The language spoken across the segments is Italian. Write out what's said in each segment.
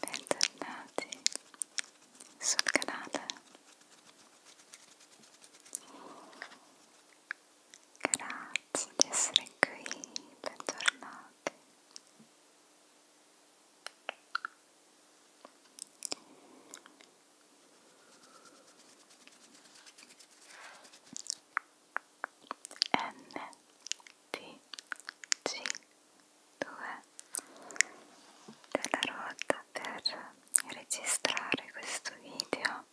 bentornati sul canale grazie di essere qui bentornati NTG2 della ruota per registrare questo video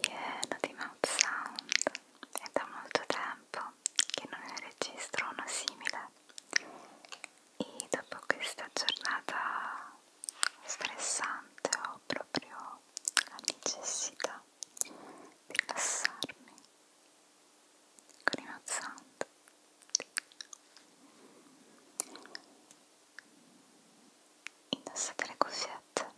pieno di mouth sound è da molto tempo che non ne registro uno simile e dopo questa giornata stressante ho proprio la necessità di rilassarmi con i mazzanti indossate le cuffiette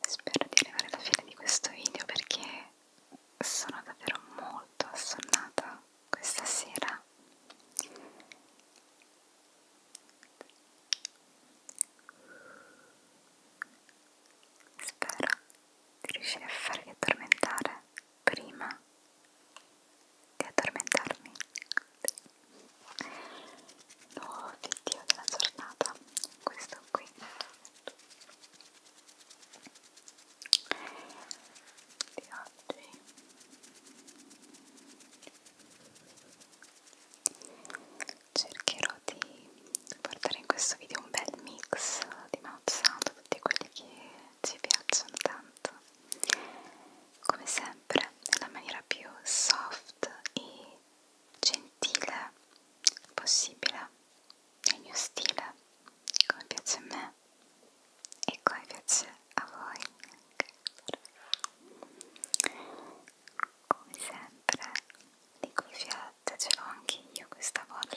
spero di arrivare alla fine di questo video perché sono davvero molto assonnata questa sera spero di riuscire a farvi addormentare prima di addormentarmi nuovo oh, obiettivo della giornata questo qui vi ho tatuaggi cercherò di portare in questo video un bel mix di mouth sound tutti quelli che ci piacciono tanto come sempre nella maniera più soft e gentile possibile nel mio stile come piace a me e come piace a voi come sempre di cuffiette ce l'ho anche io questa volta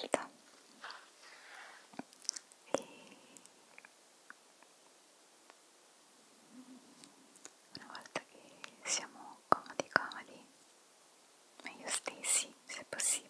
e una volta che siamo comodi comodi meglio stessi se possibile